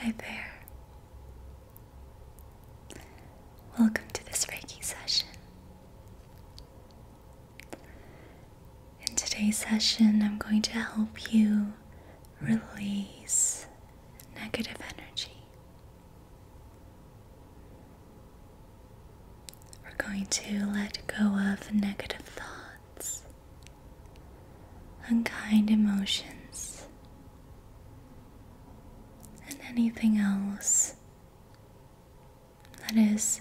Hi there. Welcome to this Reiki session. In today's session, I'm going to help you release negative energy. We're going to let go of negative thoughts, unkind emotions, and anything else that is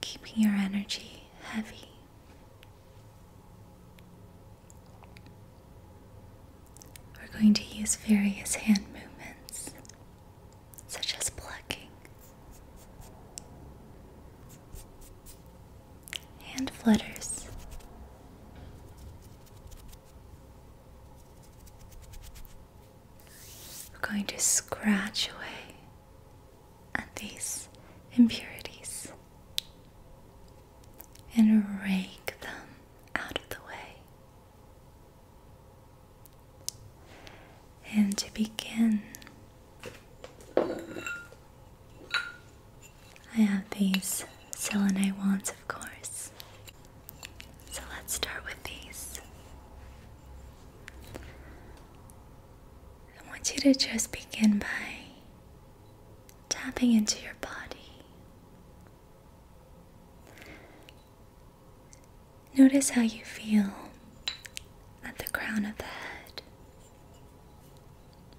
keeping your energy heavy. We're going to use various hand movements such as plucking and flutters. We're going to scratch away at these impurities and rake them out of the way and to begin I have these selenite wands of course so let's start with these I want you to just begin by tapping into your body Notice how you feel at the crown of the head.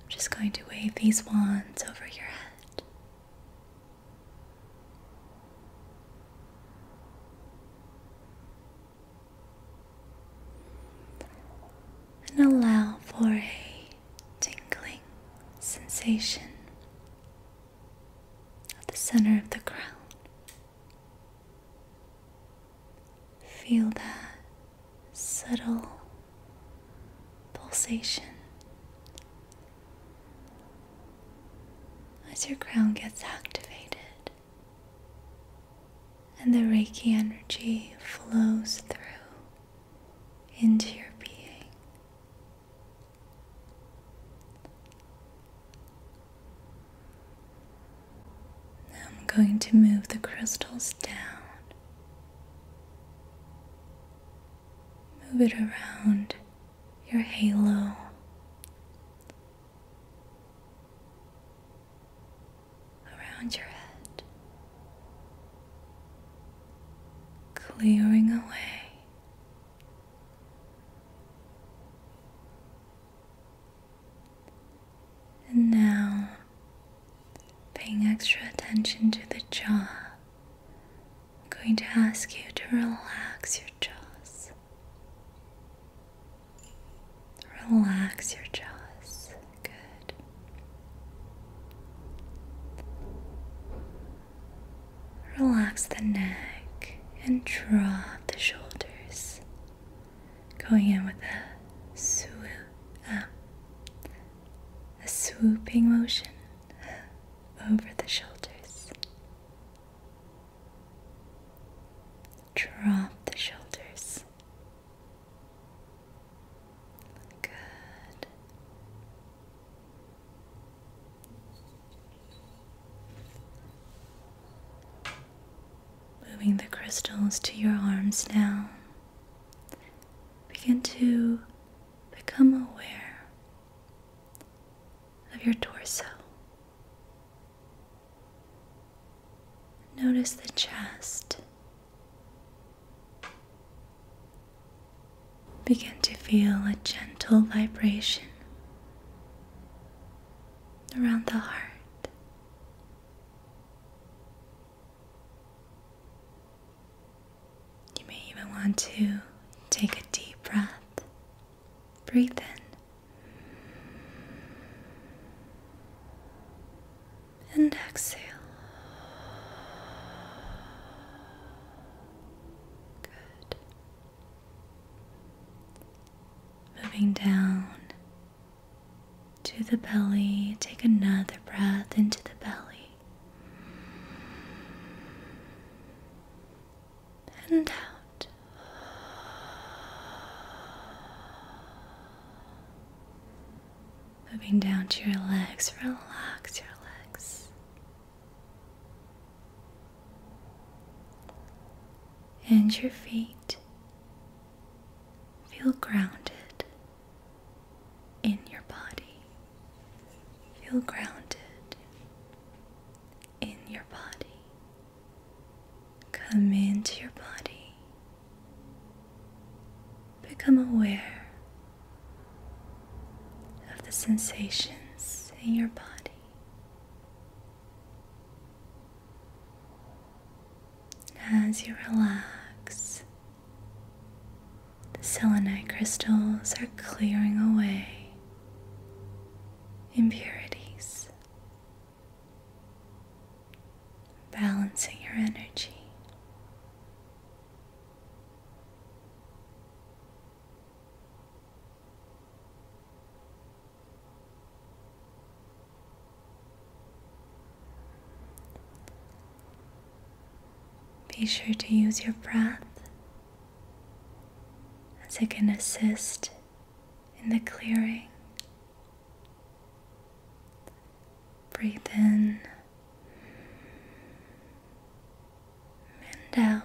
I'm just going to wave these wands over your head. And allow for a tingling sensation at the center of the crown. Feel that subtle pulsation as your crown gets activated and the Reiki energy flows through into your being. Now I'm going to move the crystals down. Move it around your halo. Around your head, clearing away and now, paying extra attention to the jaw, I'm going to ask you to relax your jaws. Relax your jaws. Good. Relax the neck and drop the shoulders. Going in with a swoop, um, a swooping motion over the shoulders. Drop the shoulders. Good. Moving the crystals to your arms now, begin to become aware of your torso. Notice the chest. Begin to feel a gentle vibration around the heart. You may even want to take a deep breath. Breathe in and exhale. Good. Moving down to the belly, take another breath into the belly and out. Moving down to your legs, relax your legs and your feet feel grounded in your body. Feel grounded in your body. Come into your body. Become aware of the sensations in your body. As you relax, the selenite crystals are clearing away impurities, balancing your energy. Be sure to use your breath as it can assist in the clearing. Breathe in and out.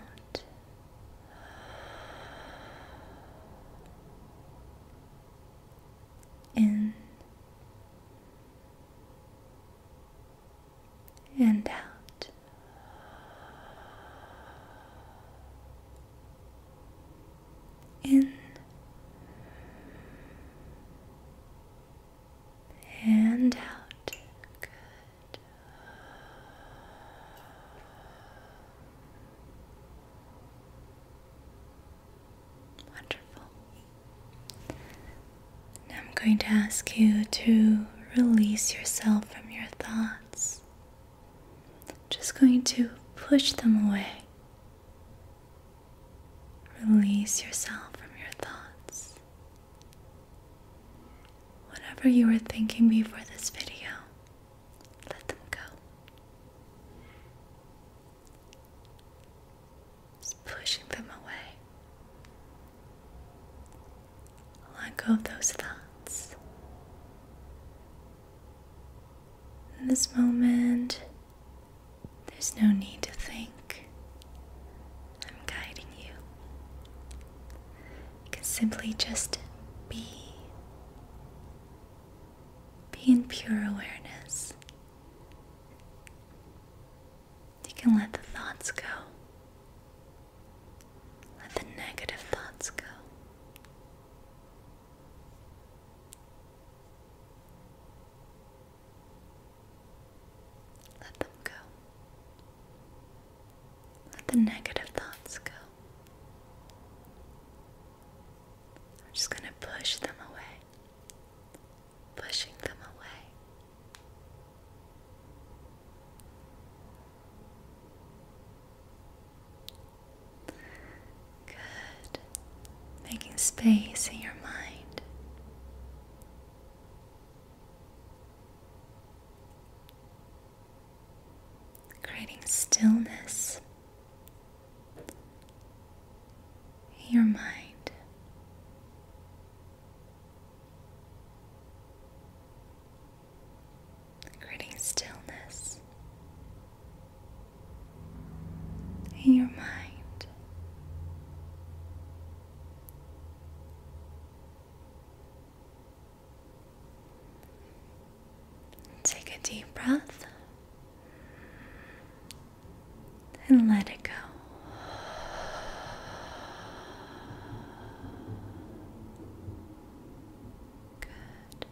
In and out. In and out. Good. Wonderful. I'm going to ask you to release yourself from your thoughts. Just going to push them away. Release yourself from your thoughts whatever you were thinking before this video, let them go. Just pushing them away. Let go of those thoughts. In this moment, there's no need to think. I'm guiding you can simply just be. Be in pure awareness. You can let the thoughts go. Let the negative thoughts go. Let them go. Let the negative thoughts go. I'm just going to push them away. Pushing them away. Good. Making space in your mind creating stillness in your mind. Creating stillness in your mind, Take a deep breath and let it go. Good.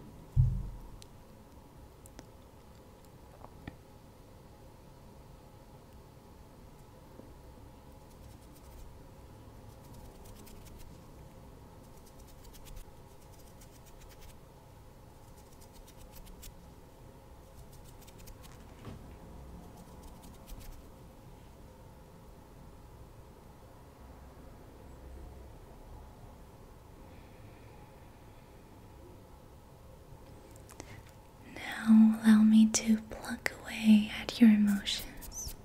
Now allow me to pluck away at your emotions.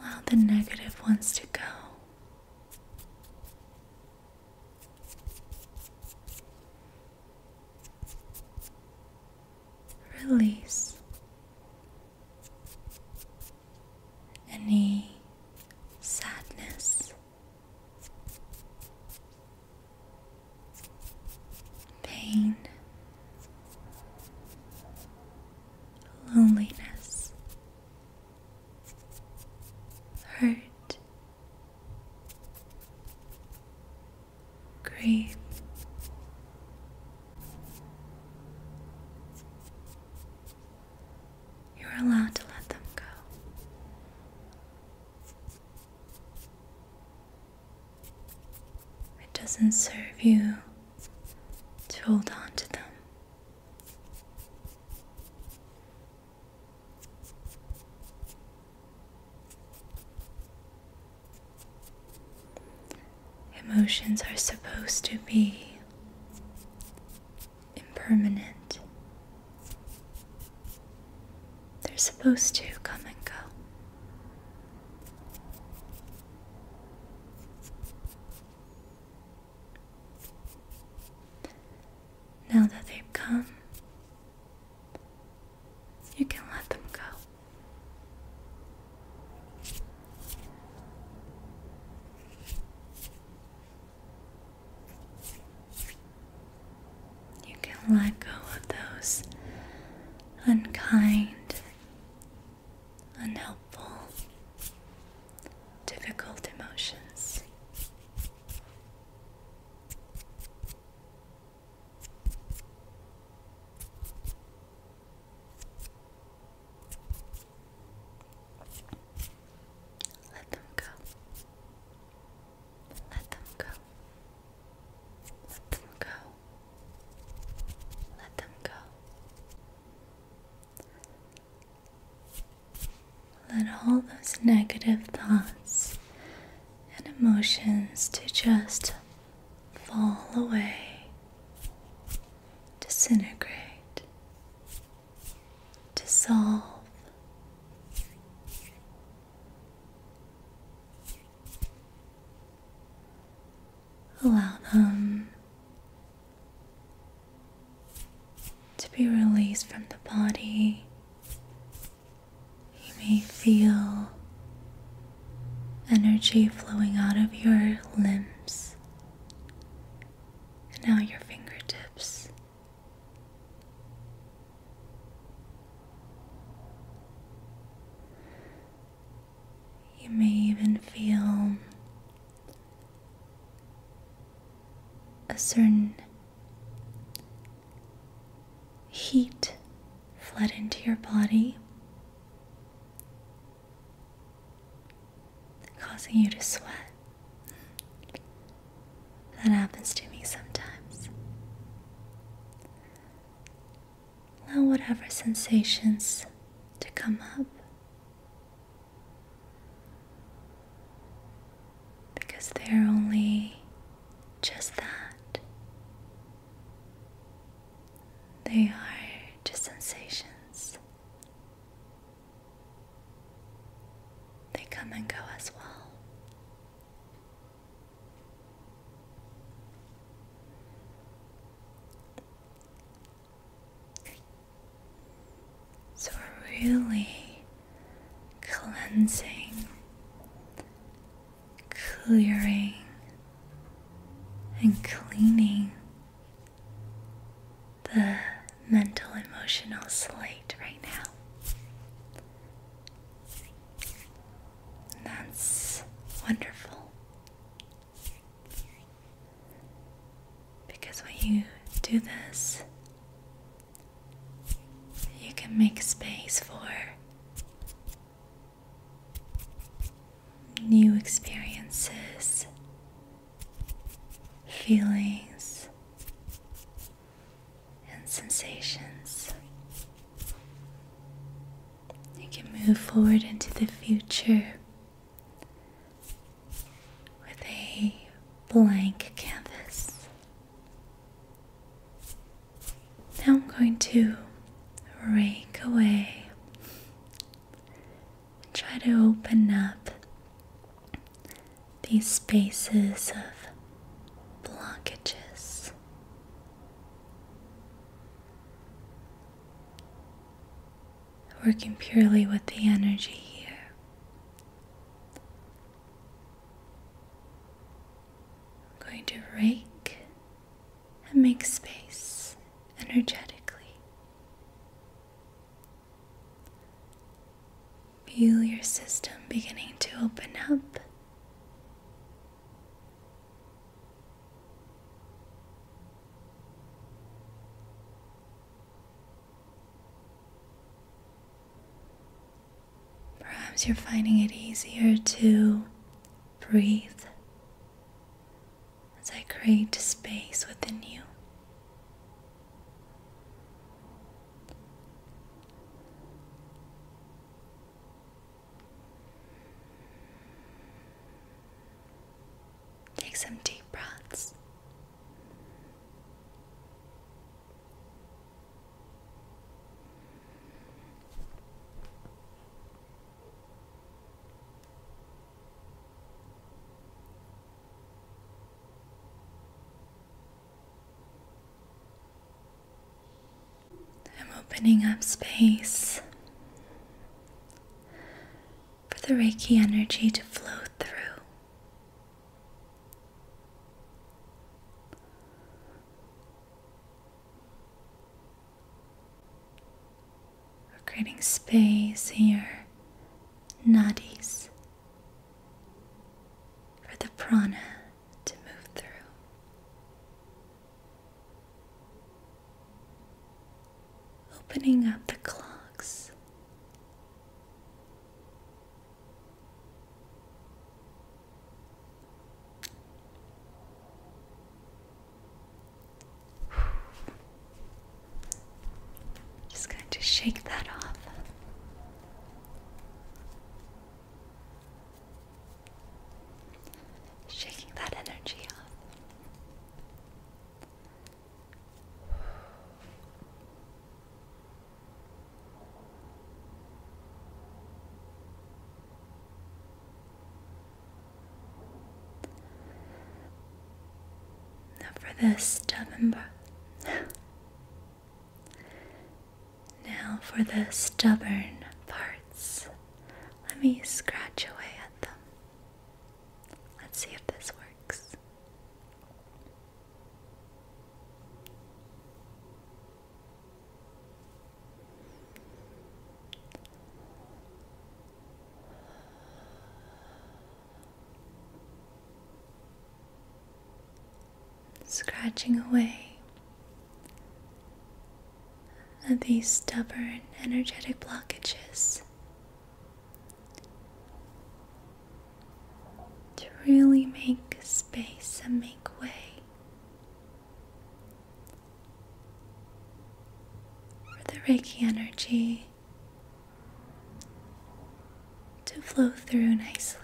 Allow the negative ones to go. Release any sadness, pain, loneliness, hurt, grief. You're allowed to let them go. It doesn't serve you to hold on to them. Emotions are supposed to be impermanent. They're supposed to come and go. Now that they've come, you can let them go. You can let go of those unkind, unhelpful, difficult emotions. Let them go. Let them go. Let them go. Let them go. Let all those negative thoughts and emotions to just fall away, disintegrate, dissolve. Allow them to be released from the body. You may feel energy flowing out of your limbs and now your fingertips. You may even feel a certain heat flood into your body causing you to sweat. That happens to me sometimes. Allow whatever sensations to come up because they're only just that. They are just sensations. They come and go as well. So, we're really cleansing, clearing, and cleaning the mental emotional slate right now. That's wonderful. Because when you do this, you can make space for new experiences, feelings and sensations. You can move forward into the future with a blank canvas. Now I'm going to rake away Try to open up these spaces of blockages. Working purely with the energy here. I'm going to rake and make space energetically. Feel your system beginning to open up. Perhaps you're finding it easier to breathe as I create space within you. Take some deep breaths. I'm opening up space for the Reiki energy to flow through. We're creating space here, your nadis for the prana to move through. Opening up the clogs. Just going to shake that off. Shaking that energy off. Not for this stubborn now for the stubborn parts. Let me scratch away at them. Let's see if this works. Scratching away at these stubborn energetic blockages to really make space and make way for the Reiki energy to flow through nicely.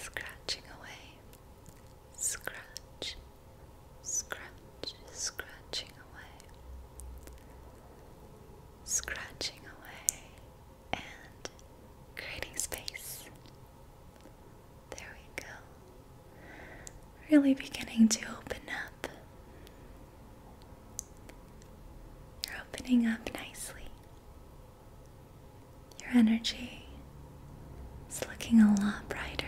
Scratching away scratch, scratch, scratching away, scratching away, and creating space. There we go. Really beginning to open up. You're opening up nicely. Your energy is looking a lot brighter.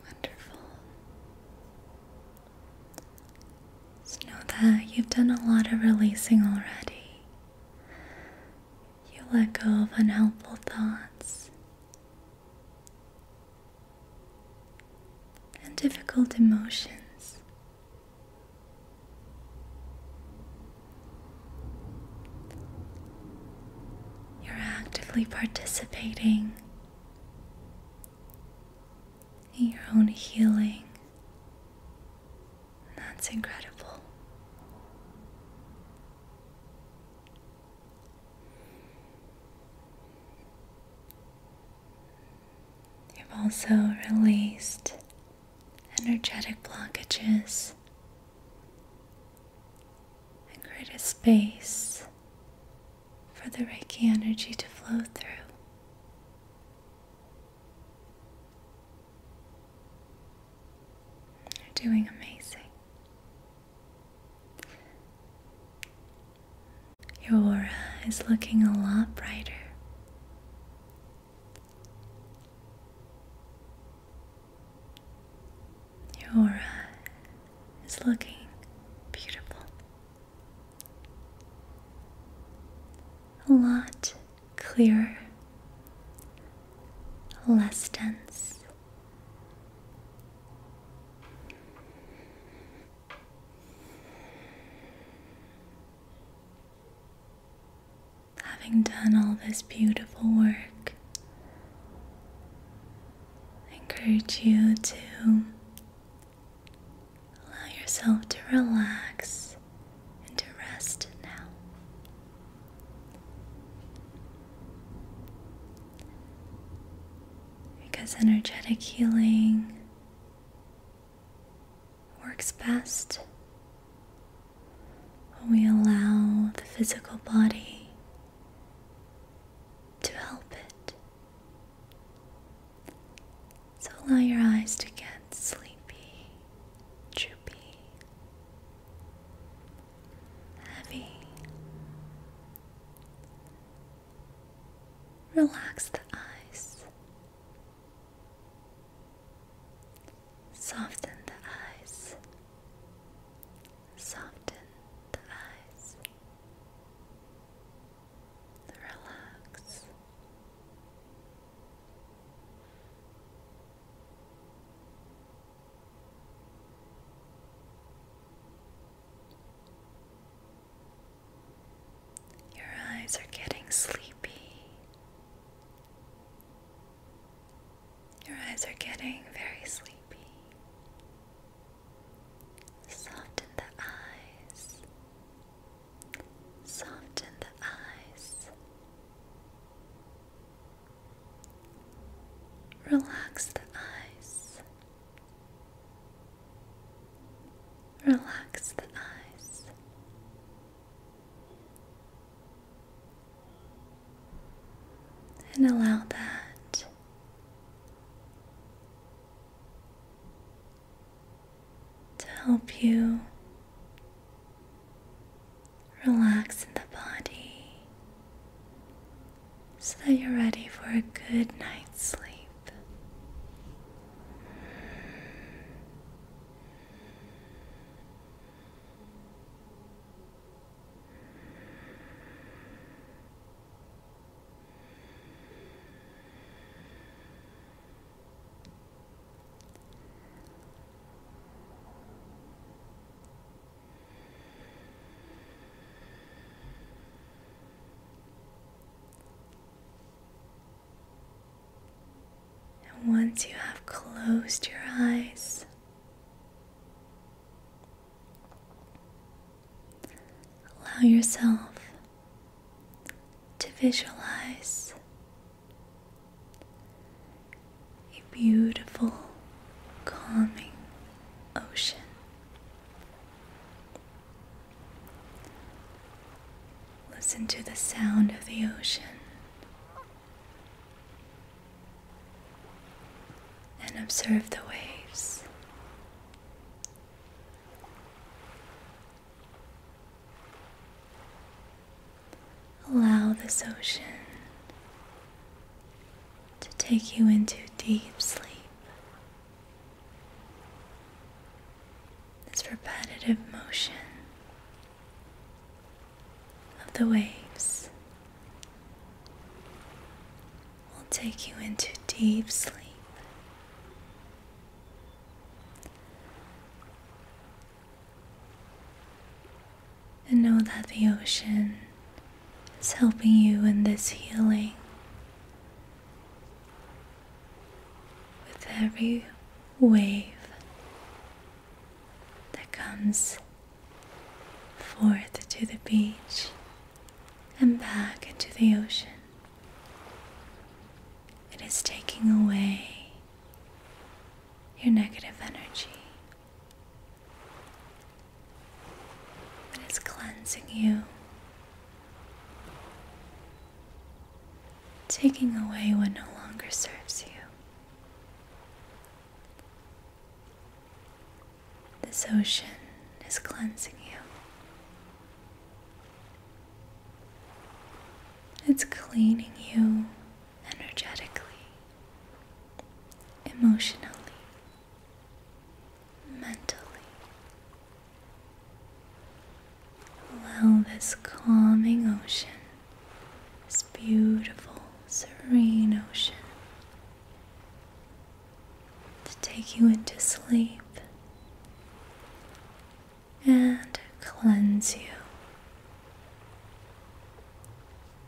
Wonderful. know that you've done a lot of releasing already. You let go of unhelpful thoughts and difficult emotions. You're actively participating in your own healing. That's incredible. You've also released energetic blockages and created a space for the Reiki energy to flow through. You're doing amazing. Your aura is looking a lot brighter. Your aura is looking beautiful. A lot clearer, less dense, Having done all this beautiful work, I encourage you to allow yourself to relax and to rest now. Because energetic healing works best when we allow the physical body to help it. So allow your eyes to get sleepy, droopy, heavy. Relax the eyes, soften the eyes, soften the eyes, relax. Your eyes are getting sleepy. Your eyes are getting very sleepy. Soften the eyes. Soften the eyes. Relax the eyes. Relax the eyes. And allow that to help you relax in the body so that you're ready for a good night's sleep. And once you have closed your eyes, allow yourself to visualize a beautiful, calming ocean. Listen to the sound of the ocean and observe the waves. Allow this ocean to take you into deep sleep. This repetitive motion of the waves will take you into deep sleep. And know that the ocean is helping you in this healing with every wave that comes forth to the beach and back into the ocean. It is taking away your negative energy. It is cleansing you, taking away what no longer serves you. This ocean is cleansing you. It's cleaning you energetically emotionally, mentally. Allow this calming ocean, this beautiful, serene ocean, to take you into sleep and cleanse you.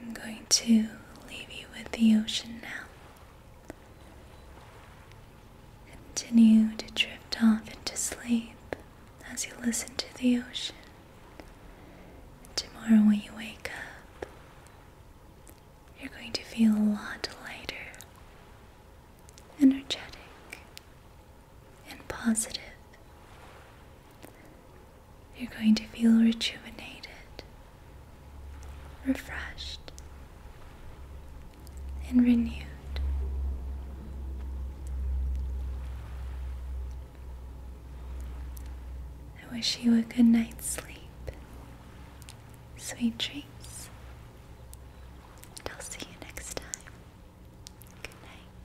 I'm going to leave you with the ocean now. Continue to drift off into sleep as you listen to the ocean. Tomorrow, when you wake up, you're going to feel a lot lighter, energetic, and positive. You're going to feel rejuvenated, refreshed, and renewed. I wish you a good night's sleep, sweet dreams, and I'll see you next time. Good night.